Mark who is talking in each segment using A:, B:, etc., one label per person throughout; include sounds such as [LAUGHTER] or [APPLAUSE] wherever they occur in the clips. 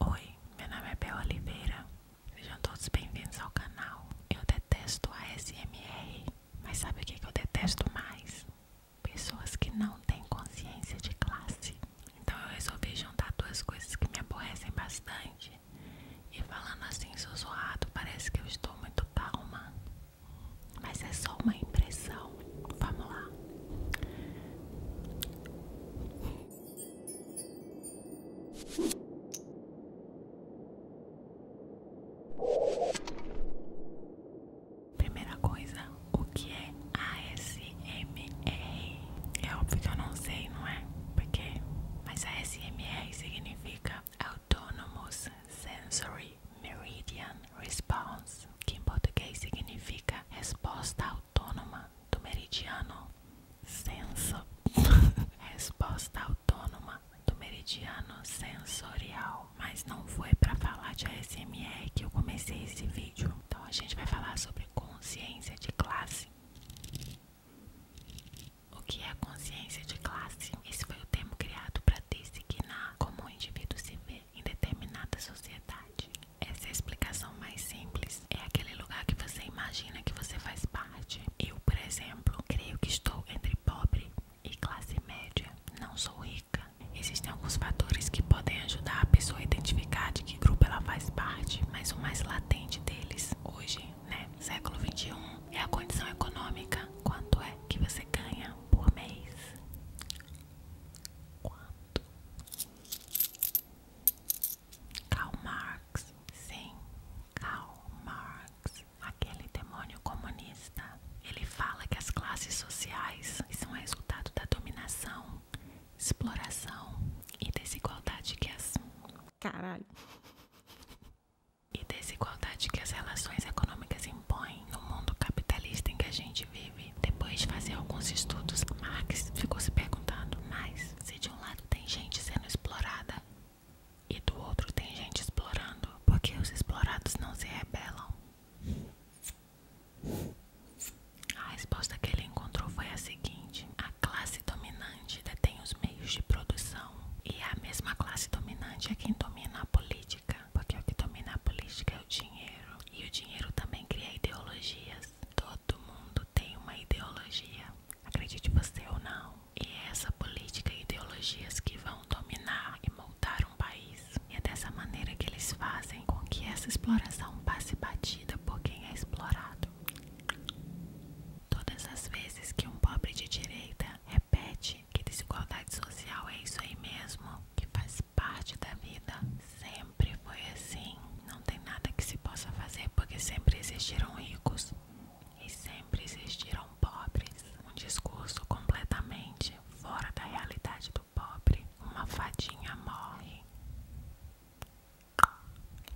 A: Oi, meu nome é Bel Oliveira. Sejam todos bem-vindos ao canal. Eu detesto ASMR, mas sabe o que eu detesto mais? Pessoas que não têm consciência de classe. Então eu resolvi juntar duas coisas que me aborrecem bastante. E falando assim, sussurrado, parece que eu estou muito calma. Mas é só uma impressão. Vamos lá. Primeira coisa, o que é ASMR? É óbvio que eu não sei, não é? Porque, mas ASMR significa Autonomous Sensory Meridian Response, que em português significa resposta autônoma do meridiano senso [LAUGHS] resposta autônoma do meridiano sensorial mas não foi para falar de ASMR que eu comecei esse vídeo então a gente vai falar sobre consciência de classe o que é consciência de classe esse foi o termo criado para designar como um indivíduo se vê em determinada sociedade essa é a explicação mais simples. É aquele lugar que você imagina que você faz parte. Eu, por exemplo, creio que estou entre pobre e classe média. Não sou rica. Existem alguns fatores que podem ajudar a pessoa a identificar de que grupo ela faz parte, mas o mais latente deles hoje, né, século 21, é a condição econômica. Quanto é que você ganha por mês? Karl Marx, sim, Karl Marx, aquele demônio comunista. Ele fala que as classes sociais são resultado da dominação, exploração e desigualdade que as caralho e desigualdade que as relações econômicas impõem no mundo capitalista em que a gente vive. Depois de fazer alguns estudos, Marx ficou se perguntando: mas se de de um lado tem gente sendo explorada e do outro tem gente explorando, Por que os explorados não se rebelam. A resposta que ele encontrou foi a seguinte: a classe dominante detém os meios de produção e a mesma classe dominante é quem domina a política, porque o que domina a política é o dinheiro e o dinheiro também cria ideologias. Todo mundo tem uma ideologia, acredite você ou não, e é essa política e ideologias que vão dominar e moldar um país. E é dessa maneira que eles fazem com que essa exploração passe batida por quem é explorado. Todas as vezes que um pobre de direita repete que desigualdade social é isso aí mesmo, que faz parte da vida, Sempre foi assim. Não tem nada que se possa fazer porque sempre existiram ricos e sempre existiram pobres. Um discurso completamente fora da realidade do pobre. Uma fadinha morre.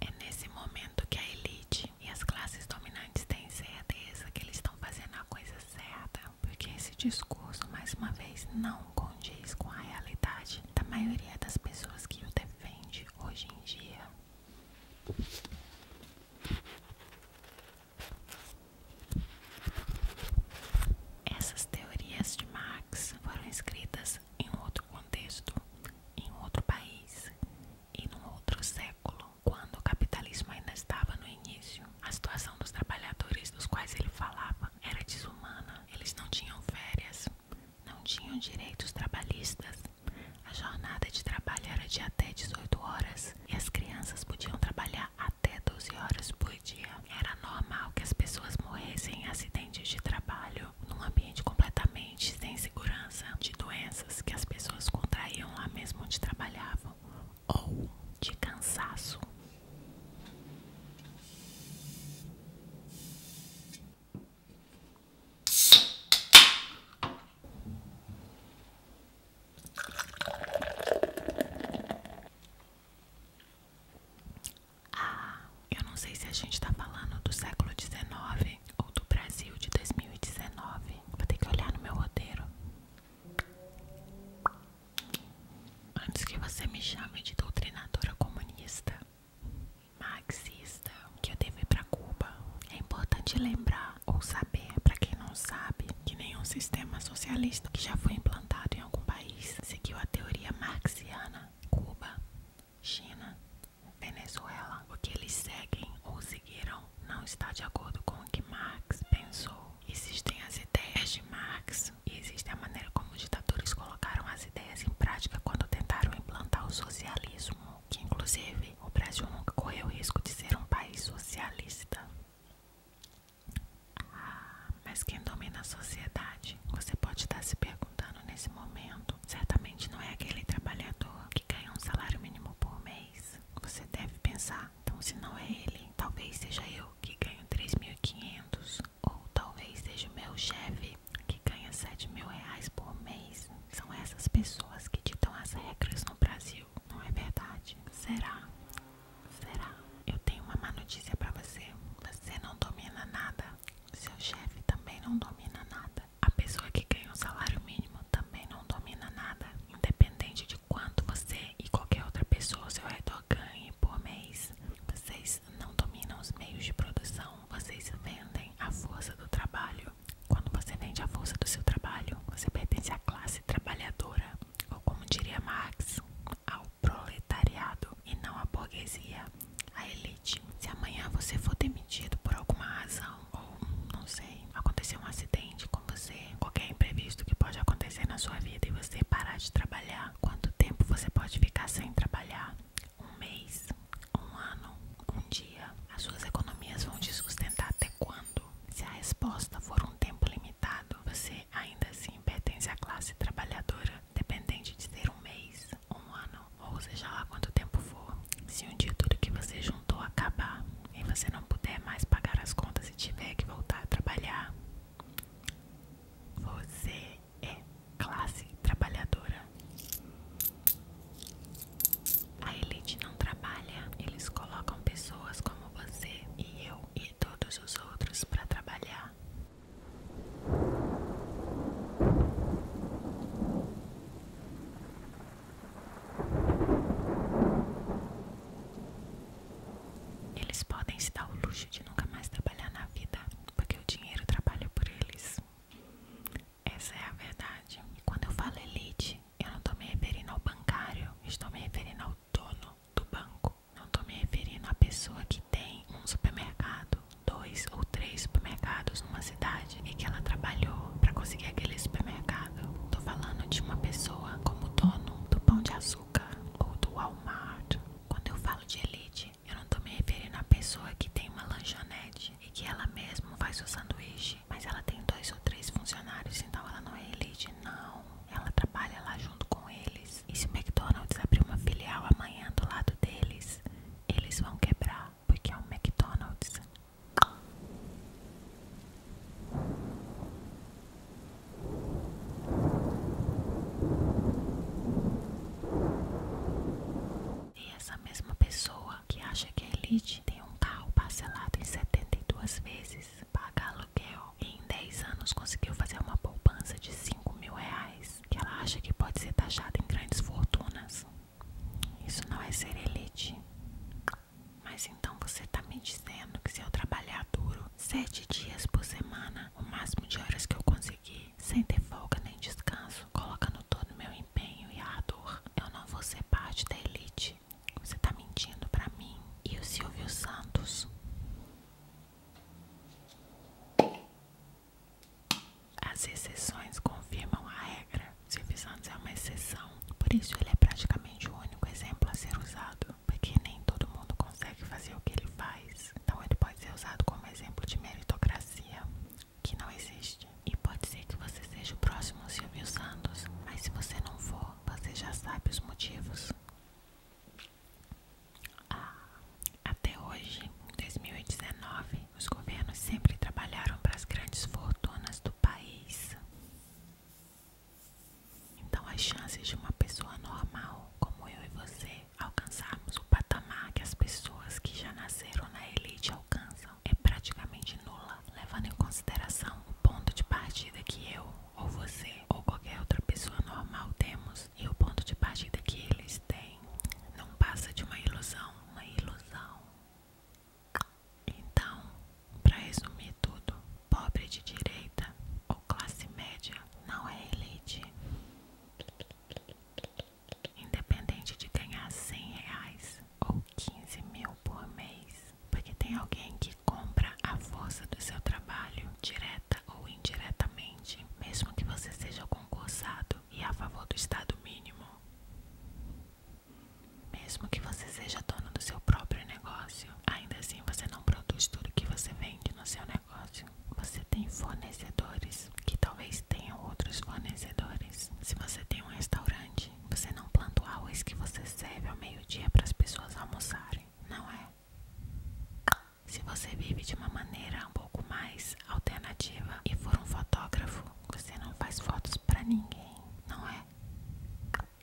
A: É nesse momento que a elite e as classes dominantes têm certeza que eles estão fazendo a coisa certa, porque esse discurso, mais uma vez, não condiz com a realidade da maioria das pessoas que o defende hoje em dia. Essas teorias de Marx foram escritas em um outro contexto, em um outro país e num outro século, quando o capitalismo ainda estava no início. A situação dos trabalhadores dos quais ele falava era desumana. Eles não tinham férias, não tinham direitos trabalhistas. A jornada de trabalho era de até 18 horas e as crianças podiam trabalhar até 12 horas por dia. Era normal que as pessoas morressem em acidentes de trabalho, num ambiente completamente sem segurança, de doenças que as pessoas contraíam lá mesmo onde trabalhavam ou de cansaço. Ah, eu não sei se a gente tá falando do século XIX ou do Brasil de 2019. Vou ter que olhar no meu roteiro. Antes que você me chame de doutrinadora comunista marxista que eu levei para Cuba. É importante lembrar ou saber, para quem não sabe, que nenhum sistema socialista que já foi implantado em algum país seguiu a teoria marxiana. Cuba, China, Venezuela, o que eles seguem ou seguiram não está de acordo com o que Marx pensou. Existem as ideias de Marx e existe a maneira como os ditadores colocaram as ideias em prática quando tentaram implantar o socialismo, que inclusive o Brasil nunca correu o risco de ser um país socialista. Ah, mas quem domina a sociedade? Você pode estar se perguntando nesse momento. Certamente não é aquele trabalhador que ganha um salário mínimo por mês. Você deve pensar, então se não é ele, talvez seja eu que ganho 3.500 ou talvez seja o meu chefe que ganha 7 mil reais por mês, são essas pessoas que ditam as regras no Brasil, não é verdade? Será? Será? Eu tenho uma má notícia pra você. Você não domina nada. Seu chefe também não domina nada. A pessoa que ganha um salário mínimo também não domina nada. Independente de quanto você e qualquer outra pessoa ou seu redor ganhe por mês, vocês não dominam os meios de produção, vocês vendem a força do trabalho. Quando você vende a força do seu trabalho, você pertence à classe trabalhadora, ou como diria Marx, ao proletariado e não à burguesia, à elite. Se amanhã você for demitido por alguma razão, ou não sei, acontecer um acidente com você, qualquer imprevisto que pode acontecer na sua vida e você parar de trabalhar, quanto tempo você pode ficar sem trabalhar? um mês, um ano, um dia? As suas economias vão te sustentar até quando? Se a resposta for um tempo limitado, você ainda assim pertence à classe trabalhadora, dependente de ter um mês, um ano, ou seja lá quanto tempo for. Se um dia tudo que você juntou acabar e você não puder mais pagar as contas e tiver que voltar a trabalhar, você é classe trabalhadora. A elite não trabalha, eles colocam pessoas como você e eu e todos os outros para trabalhar. Eles podem se dar o luxo de nunca mais trabalhar na vida, porque o dinheiro trabalha por eles. Essa é a verdade. Quando eu falo elite, eu não estou me referindo ao bancário, estou me referindo ao dono do banco. Não estou me referindo à pessoa que tem um supermercado, dois ou três supermercados numa cidade e que ela trabalhou para conseguir aquele supermercado. estou falando de uma pessoa como dono do Pão de Açúcar ou do Walmart. Quando eu falo de elite, eu não tô me referindo à pessoa que tem uma lanchonete e que ela mesma faz o sanduíche, mas ela tem dois ou três funcionários, então ela não é elite, não. Ela trabalha lá junto com eles. E se o McDonald's abrir uma filial amanhã do lado deles, eles vão quebrar, porque é um McDonald's. E essa mesma pessoa que acha que a Elite tem um carro parcelado em 72 vezes, paga aluguel e em 10 anos conseguiu fazer uma poupança de 5 mil reais, que ela acha que pode ser taxada em grandes fortunas. Isso não é ser elite. Mas então você tá me dizendo que se eu trabalhar duro sete dias por semana, o máximo de horas que eu conseguir sem ter folga nem descanso, colocando todo o meu empenho e ardor, eu não vou ser parte da elite. Você tá mentindo pra mim e o Silvio Santos. As exceções confirmam a regra. Silvio Santos é uma exceção, por isso ele é praticamente o único exemplo a ser usado, porque nem todo mundo consegue fazer o que ele faz. Então ele pode ser usado como exemplo de meritocracia que não existe. E pode ser que você seja o próximo Silvio Santos, mas se você não for, você já sabe os motivos. Ah, até hoje, em 2019, os governos sempre trabalharam para as grandes fortunas do país. Então, as chances de uma pessoa normal, como eu e você, alcançarmos o patamar que as pessoas que já nasceram na elite alcançam é praticamente nula, levando em consideração o ponto de partida que eu, ou você, ou qualquer outra pessoa normal temos e o ponto de partida que eles têm. Não passa de uma ilusão, uma ilusão. Então, para resumir tudo, pobre de direita ou classe média não é elite. Independente de ganhar 100 reais ou 15 mil por mês, porque tem alguém que compra a força do seu trabalho, direta ou indiretamente, mesmo que você seja concursado e a favor do estado mínimo, mesmo que você seja dono do seu próprio negócio, ainda assim você não produz tudo que você vende no seu negócio. Você tem fornecedores que talvez tenham outros fornecedores. Se você tem um restaurante, você não planta o arroz que você serve ao meio-dia para as pessoas almoçarem, não é? Se você vive de uma maneira um pouco mais alternativa e for um fotógrafo, você não faz fotos para ninguém, não é?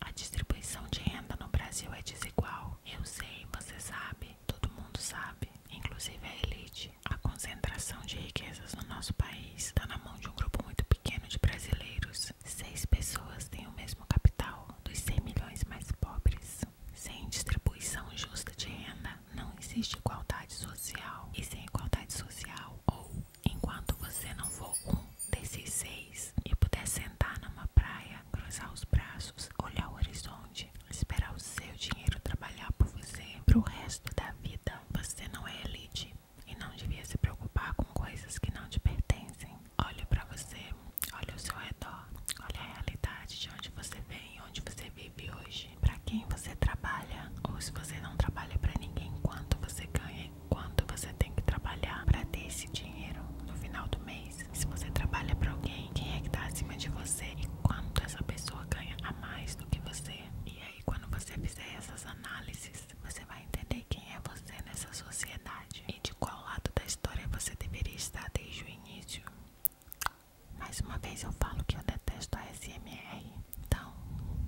A: A distribuição de renda no Brasil é desigual. Eu sei, você sabe, todo mundo sabe, inclusive a elite a concentração de riquezas no nosso país está na mão de um grupo muito pequeno de brasileiros. Seis pessoas têm o mesmo capital dos 100 milhões mais pobres. Sem distribuição justa de renda, não existe igualdade social. E sem igualdade social, ou enquanto você não for um desses seis e puder sentar numa praia, cruzar os braços, olhar o horizonte, esperar o seu dinheiro trabalhar por você para o resto da vida, você não é eleito e não devia se preocupar com coisas que não te pertencem. Olha para você, olha o seu redor, olha a realidade de onde você vem, onde você vive hoje, para quem você trabalha, ou se você não trabalha para ninguém, quanto você ganha e quanto você tem que trabalhar para ter esse dinheiro no final do mês. Se você trabalha para alguém, quem é que tá acima de você e quanto essa pessoa ganha a mais do que você. E é aí quando você fizer essas análises, você vai entender quem é você nessa sociedade e de qual lado da história você deveria estar desde o início. Mais uma vez eu falo que eu detesto a SMR. Então,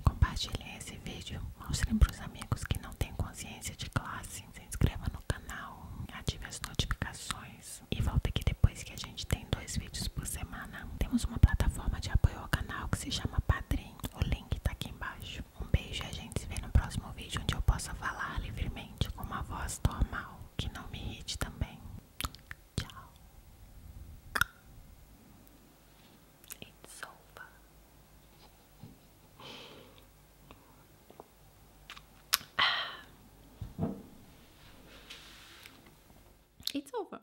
A: compartilhem esse vídeo, mostrem para os amigos que não têm consciência de classe, se inscreva no canal, ative as notificações e volta aqui depois que a gente tem dois vídeos por semana. Temos uma plataforma de apoio ao canal que se chama Padrim. O link tá aqui embaixo. Um beijo e a gente se vê no próximo vídeo onde eu possa falar livremente com uma voz normal, que não me irrite também. Tchau. It's over. Ah. It's over.